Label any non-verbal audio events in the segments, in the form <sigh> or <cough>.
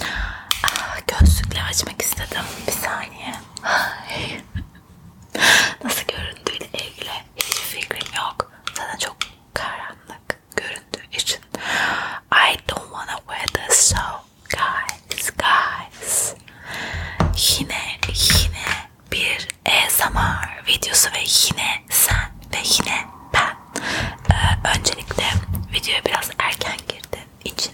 Aa, ah, gözlükle açmak istedim. Bir saniye. Ay. Nasıl göründüğüyle ilgili hiç fikrim yok. Sana çok karanlık göründüğü için. I don't wanna wear this so guys guys. Yine yine bir ASMR e videosu ve yine sen ve yine ben ee, öncelikle videoya biraz erken girdiğim için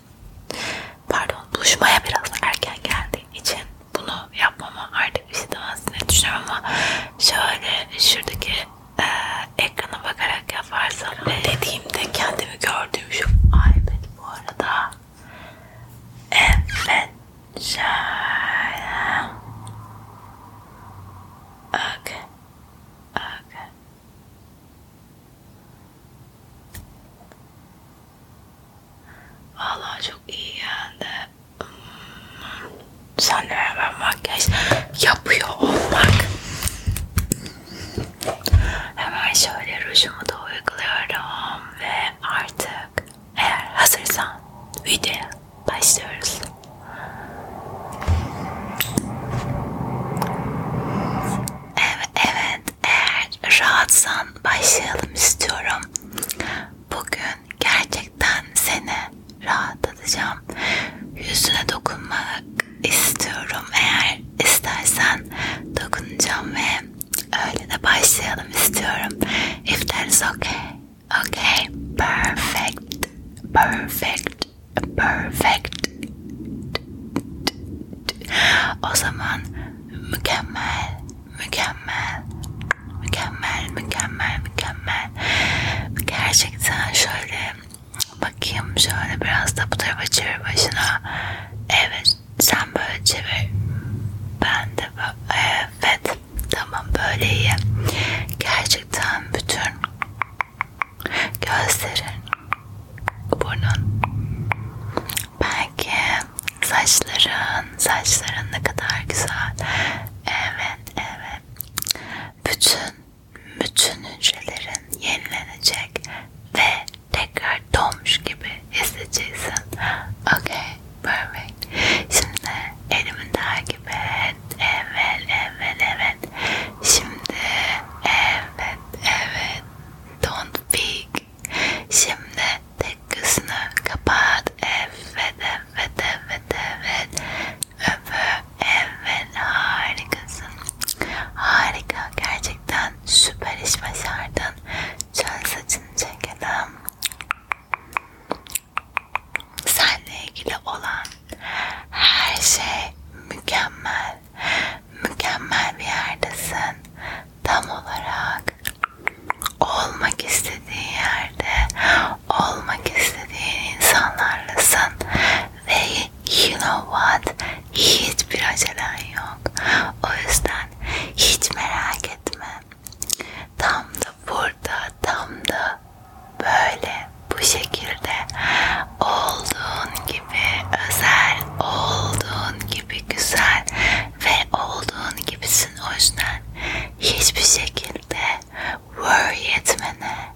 pardon buluşmaya biraz erken geldiğim için bunu yapmama artık bir şey demezsin diye düşünüyorum ama şöyle şuradaki e, ekrana bakarak yaparsam e, dediğimde kendimi gördüğüm şu iPad bu arada evet şöyle okay. Okay. Vallahi çok iyi geldi. Hmm. Sen beraber makyaj yapıyor olmak. Hemen şöyle rujumu da uyguluyorum ve artık eğer hazırsan video başlıyoruz. Evet, evet eğer rahatsan başlayalım istiyorum. Bugün gerçekten seni rahatlatacağım. Yüzüne dokunmak istiyorum. Eğer istersen dokunacağım ve öyle de başlayalım istiyorum. If that is okay. Okay, perfect, perfect, perfect. O zaman mükemmel, mükemmel, mükemmel, mükemmel, mükemmel. Gerçekten şöyle bakayım şöyle biraz da bu tarafa çevir başına. Evet, sen böyle çevir. Ben de böyle, evet. Tamam böyle iyi. Gerçekten bütün gözlerin, burnun, belki saçların, saçların ne kadar güzel. Evet, evet. Bütün, bütün hücrelerin yenilenecek ve tekrar doğmuş gibi hissedeceksin. Okay. Perfect. Şimdi elimin daha gibi evet, evet, evet, evet. Şimdi evet, evet. Don't peek. Şimdi tek kısmını kapat. Evet, evet, evet, evet. Öpü. Evet, harikasın. Harika, gerçekten süper iş başardın. Şöyle saçını çekelim. Seninle ilgili olan her şey mükemmel. Mükemmel bir yerdesin. Tam olarak olmak istediğin yerde olmak istediğin insanlarlasın ve you know what hiçbir acelen yok o yüzden hiç merak etme Tam da burada, tam da böyle bu şekilde olduğun gibi özel, olduğun gibi güzel ve olduğun gibisin o yüzden hiçbir şekilde worry etmene,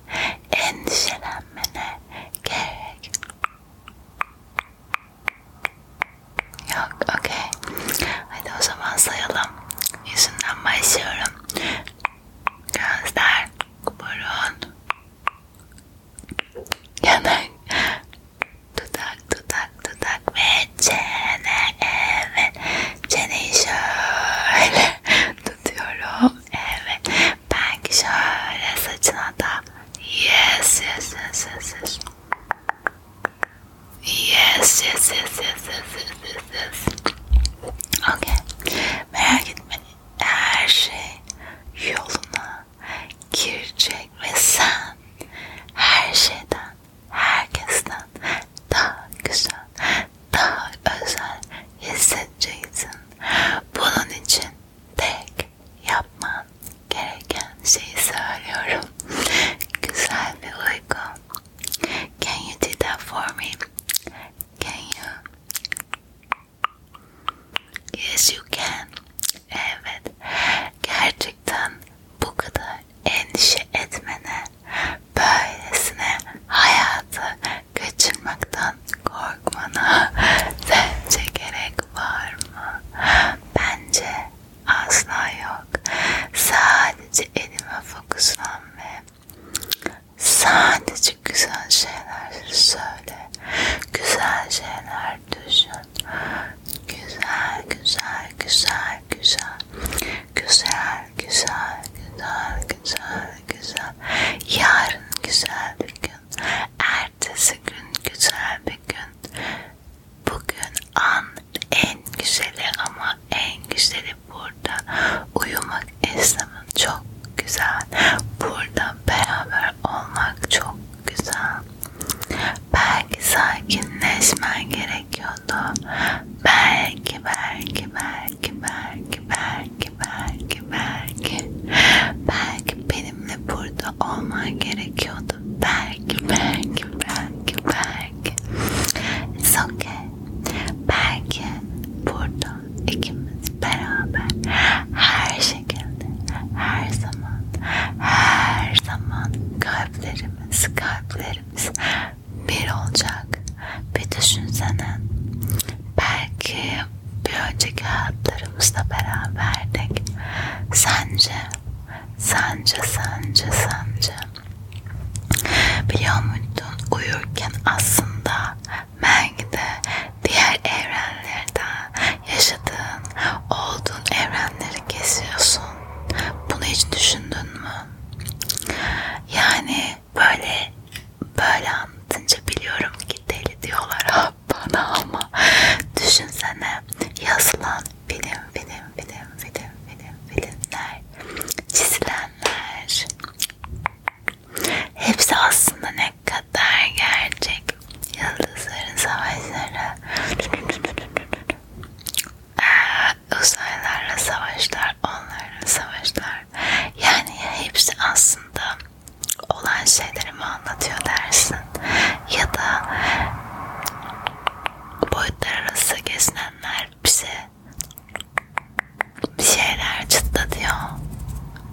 endişelenmene gerek yok. Okay. Hadi o zaman sayalım. Yüzünden başlıyorum. Gözler, burun, yanak, dudak, dudak, dudak ve çene. Evet. Çeneyi şöyle <laughs> tutuyorum. Evet. Belki şöyle saçına da yes yes yes yes yes. Yes, yes, yes, yes, yes, yes, yes. Okay. Merak etme. Her şey yoluna girecek ve sen her şeyden, herkesten daha güzel, daha özel hissedeceksin. Bunun için tek yapman gereken şeyi söylüyorum. güzel bir uyku. Can you do that for me? Can you? Yes you can. Evet. Gerçekten bu kadar endişe etmene, böylesine hayatı kaçırmaktan korkmana <laughs> sence gerek var mı? Bence asla yok. Sadece elime fokuslan ve sadece güzel şeyler söyle. Güzel şeyler düşün. Güzel, güzel, güzel, güzel. Güzel, güzel, güzel, güzel, güzel. Yarın güzel bir gün. Ertesi gün güzel bir gün. Bugün an en güzeli ama en güzeli burada uyumak istemem çok güzel burada beraber olmak çok güzel belki sakinleşmen gerekiyordu belki belki belki belki belki belki belki belki benimle burada olman gerekiyordu oldu. Berk, Berk, Berk, Berk. It's okay. Belki burada ikimiz beraber her şekilde, her zaman, her zaman kalplerimiz, kalplerimiz bir olacak. Bir düşünsene. Belki bir önceki hayatlarımızla beraberdik. Sence Sence, sence, sence. Biliyor muydun uyurken aslında Meng'de diğer evrenlerde yaşadığın, olduğun evrenleri kesiyorsun. Bunu hiç düşündün mü? Yani böyle böyle anlatınca biliyorum ki deli diyorlar ha <laughs> bana ama düşünsene yazılan benim benim benim benim benim benimler çizilenler hepsi aslında ne kadar gerçek yıldızların savaşları ee, uzaylarla savaşlar onlarla savaşlar yani hepsi aslında olan şeyleri mi anlatıyor dersin gezinen ya da boyutlar arası gezinenler bize bir şeyler çıtlatıyor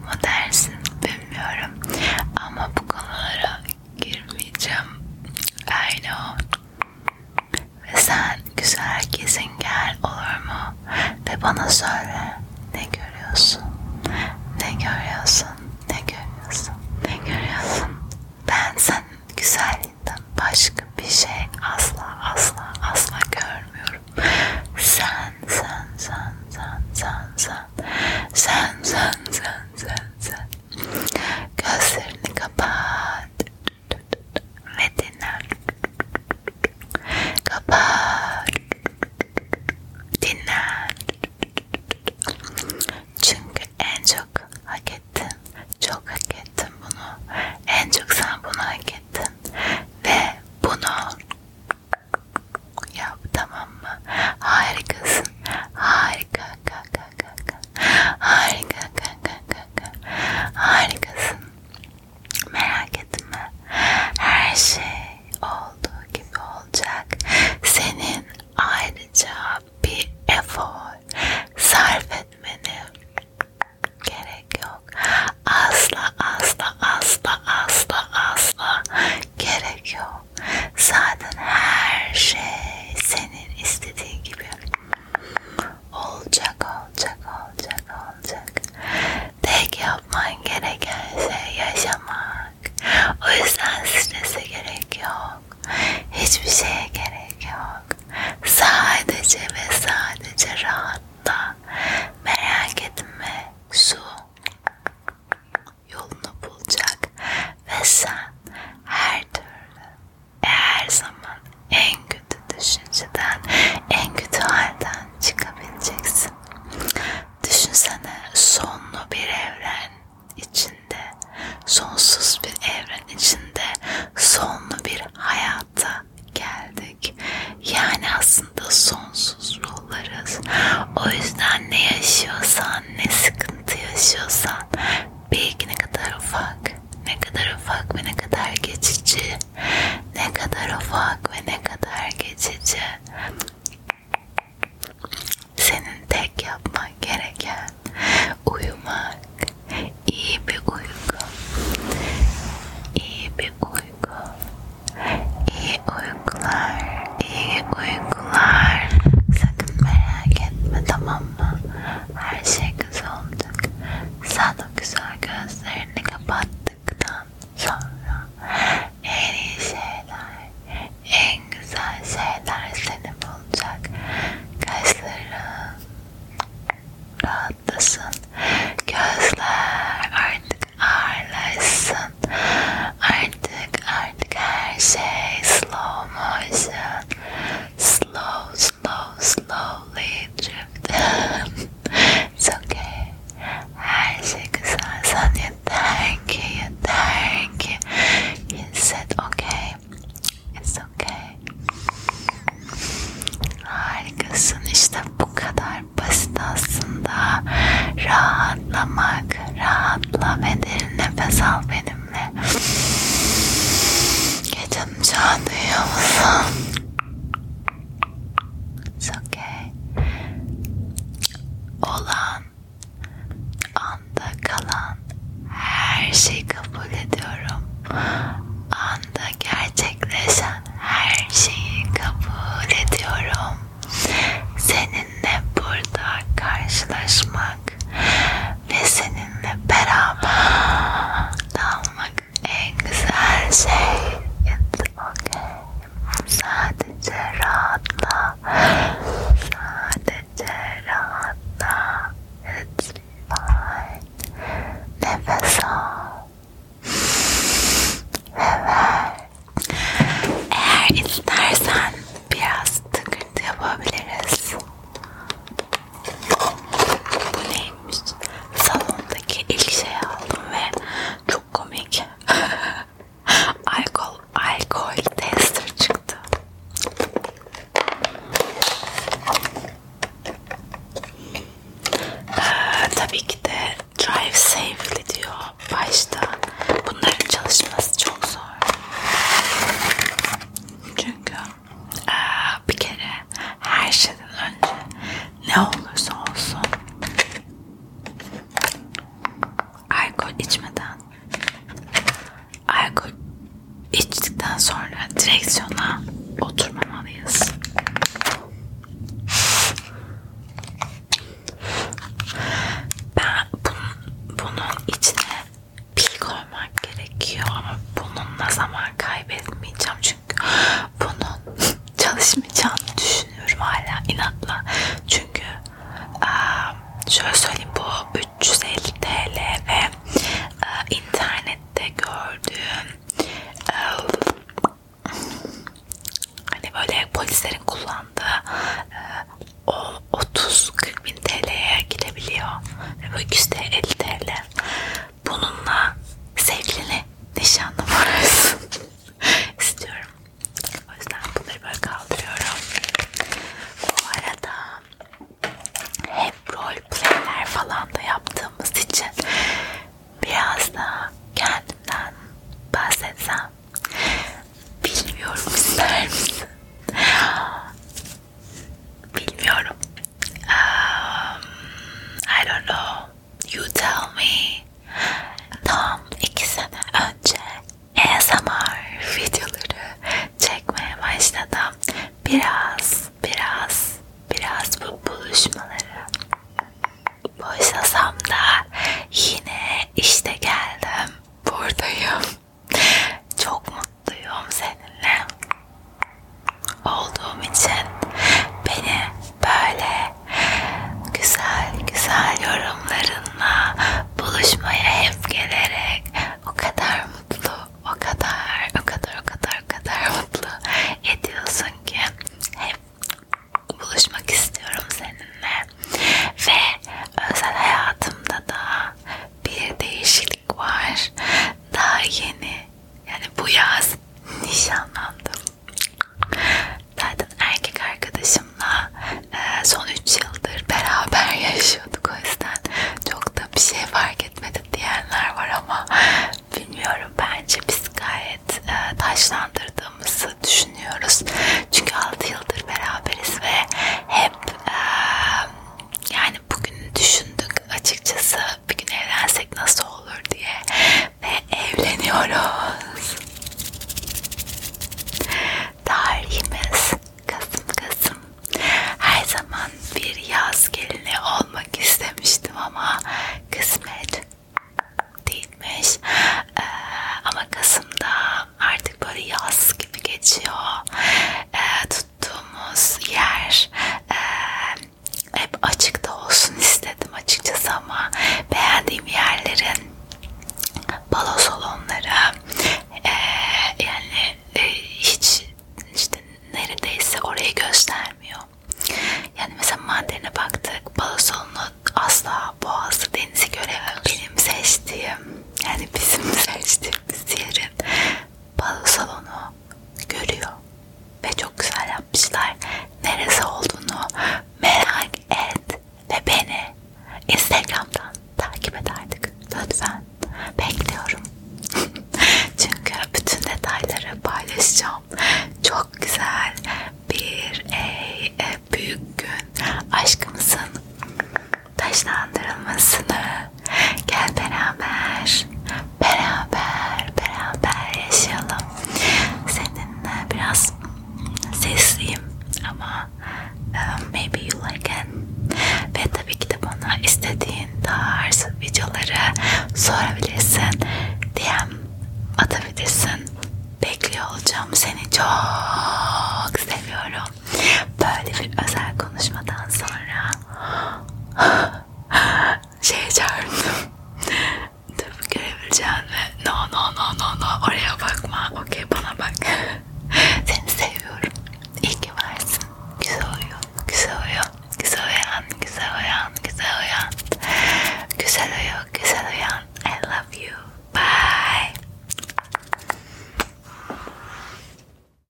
mu dersin bilmiyorum ama bu konulara girmeyeceğim aynı o ve sen güzel gezingen olur mu ve bana söyle ne görüyorsun ne görüyorsun görüyorsun? Ne görüyorsun? Ne görüyorsun? Ben senin güzelliğinden başka bir şey asla asla asla görmüyorum. Sen sen sen sen sen sen sen sen sen sen sen gözlerini kapat ve dinle kapat dinle çünkü en çok hak ettin. Çok hak ettin bunu. En çok sen bunu hak ettin. Ve bunu yap tamam mı? Harikasın. Harika. Kaka, kaka. Harika. Kaka, kaka. Harikasın. Merak etme. Her şey olduğu gibi olacak. Senin ayrıca bir efor sarf etmene gerek yok. Asla asla asla asla asla gerek yok. Zaten her şey senin istediğin gibi olacak olacak olacak olacak. Tek yapman gereken şey yaşamak olacak. O yüzden strese gerek yok. Hiçbir şeye gerek yok. Sadece ve sadece rahatla. Merak etme. Su yolunu bulacak. Ve sen her türlü her zaman en kötü düşünceden, en kötü halden çıkabileceksin. Düşünsene sonlu bir evren içinde, sonsuz bir evren içinde sonlu bir hayata geldik. Yani aslında sonsuz ruhlarız. O yüzden ne yaşıyorsan, ne sıkıntı yaşıyorsan belki ne kadar ufak, ne kadar ufak ve ne kadar geçici, ne kadar ufak ve ne kadar geçici senin tek yapman gereken uyumak, iyi bir uyku, iyi bir uyku, iyi uykular, iyi uykular. Sakın merak etme tamam mı? Her şey güzel olacak. Sen o güzel gözlerini kapat. yaptıktan sonra en iyi şeyler, en güzel şeyler seni bulacak. Gözlerin rahatlasın. Gözler artık ağırlaşsın. Artık artık her şey slow motion. Slow slow slowly drift. It's okay. Her şey güzel. Sen yeter ki, yeter ki hisset. Okay. It's okay. Harikasın. İşte bu kadar basit aslında. Rahatlamak. Rahatla ve derin nefes al benimle. Gecem çağ duyuyor musun? It's okay. Olan anda kalan her şeyi kabul ediyorum. Anda gerçekleşen her şeyi kabul ediyorum. Seninle burada karşılaşmak ve seninle beraber kalmak <gasps> en güzel şey. It's Okey. Sadece rahatla. Sadece rahatla. It's fine. Nefes al. Ve ver. Eğer istersen biraz tıkıntı yapabiliriz. Bu neymiş? Salondaki ilk şey aldım ve çok komik. <laughs> alkol, alkol tester çıktı. Ee, tabii ki de drive safely diyor başta. Bunların çalışması çok zor. Çünkü ee, bir kere her şeyden önce ne olursa olsun alkol içmeden alkol içtikten sonra direksiyona oturmamalıyız. Ben bunun, bunun içine pil koymak gerekiyor ama bununla zaman kaybetmeyeceğim çünkü bunun <laughs> çalışmayacağını düşünüyorum hala inatla çünkü şöyle söyleyeyim bu 350 TL ve internette gördüğüm hani böyle polislerin kullandığı o 30-40 bin TL'ye gidebiliyor ve bu 250 TL bununla sevgilini nişanlı varsın <laughs> istiyorum. O yüzden bunları böyle kaldırıyorum. Bu arada hep rol playler falan da yaptığımız için biraz da kendimden bahsetsem bilmiyorum ister misin? Bilmiyorum. Um, I don't know. You Tell Me tam iki sene önce ASMR videoları çekmeye başladım. Biraz, biraz, biraz bu buluşmaları boşlasam da yine işte geldim. Buradayım. Çok mutluyum seninle olduğum için beni böyle güzel güzel yorumlarınla buluşmaya hep gelerek o kadar mutlu, o kadar, o kadar, o kadar, o kadar mutlu ediyorsun ki hep buluşmak istiyorum seninle ve özel hayatımda da bir değişiklik var. Daha yeni yani bu yaz nişanlandım. Zaten erkek arkadaşımla e, son 3 yıldır beraber <laughs> yaşıyorduk o yüzden çok da bir şey fark etmedi diyenler var ama bilmiyorum bence biz gayet e, taşlandırdığımızı düşünüyoruz. Çünkü 6 yıldır beraberiz ve hep e, yani bugün düşündük açıkçası bir gün evlensek nasıl olur diye ve evleniyoruz. Tarihimiz Kasım Kasım. Her zaman bir yaz gelini olmak istemiştim ama kısmet değilmiş. Ee, ama Kasım'da artık böyle yaz gibi geçiyor. Ee, tuttuğumuz yer e, hep açıkta olsun istedim açıkçası ama beğendiğim yerlerin balo salonları e, yani e, hiç işte neredeyse orayı göstermiyor. Yani mesela Mandarin'e baktık balo salonu asla boğazı denizi göremiyor. Benim seçtiğim yani bizim <laughs> seçtiğimiz yerin balı salonu görüyor ve çok güzel yapmışlar. Neresi olduğunu merak et ve beni Instagram'dan takip et artık. Lütfen bekliyorum. <laughs> Çünkü bütün detayları paylaşacağım. Çok güzel bir ey, e, büyük gün aşkımızın taşlandırılmasını Gel beraber, beraber, beraber yaşayalım. Seninle biraz sesliyim ama um, maybe you like it. Ve tabii ki de bana istediğin tarz videoları sorabilirsin. DM atabilirsin. Bekliyor olacağım. Seni çok seviyorum. Böyle bir özel konuşmadan sonra <gasps> ah, Şeycardım. Tıp görebileceğin ve no no no no no oraya bakma. Okey bana bak. Seni seviyorum. İyi ki varsın. Güzel uyuyor. Güzel uyuyor. Güzel uyan, güzel I love you. Bye.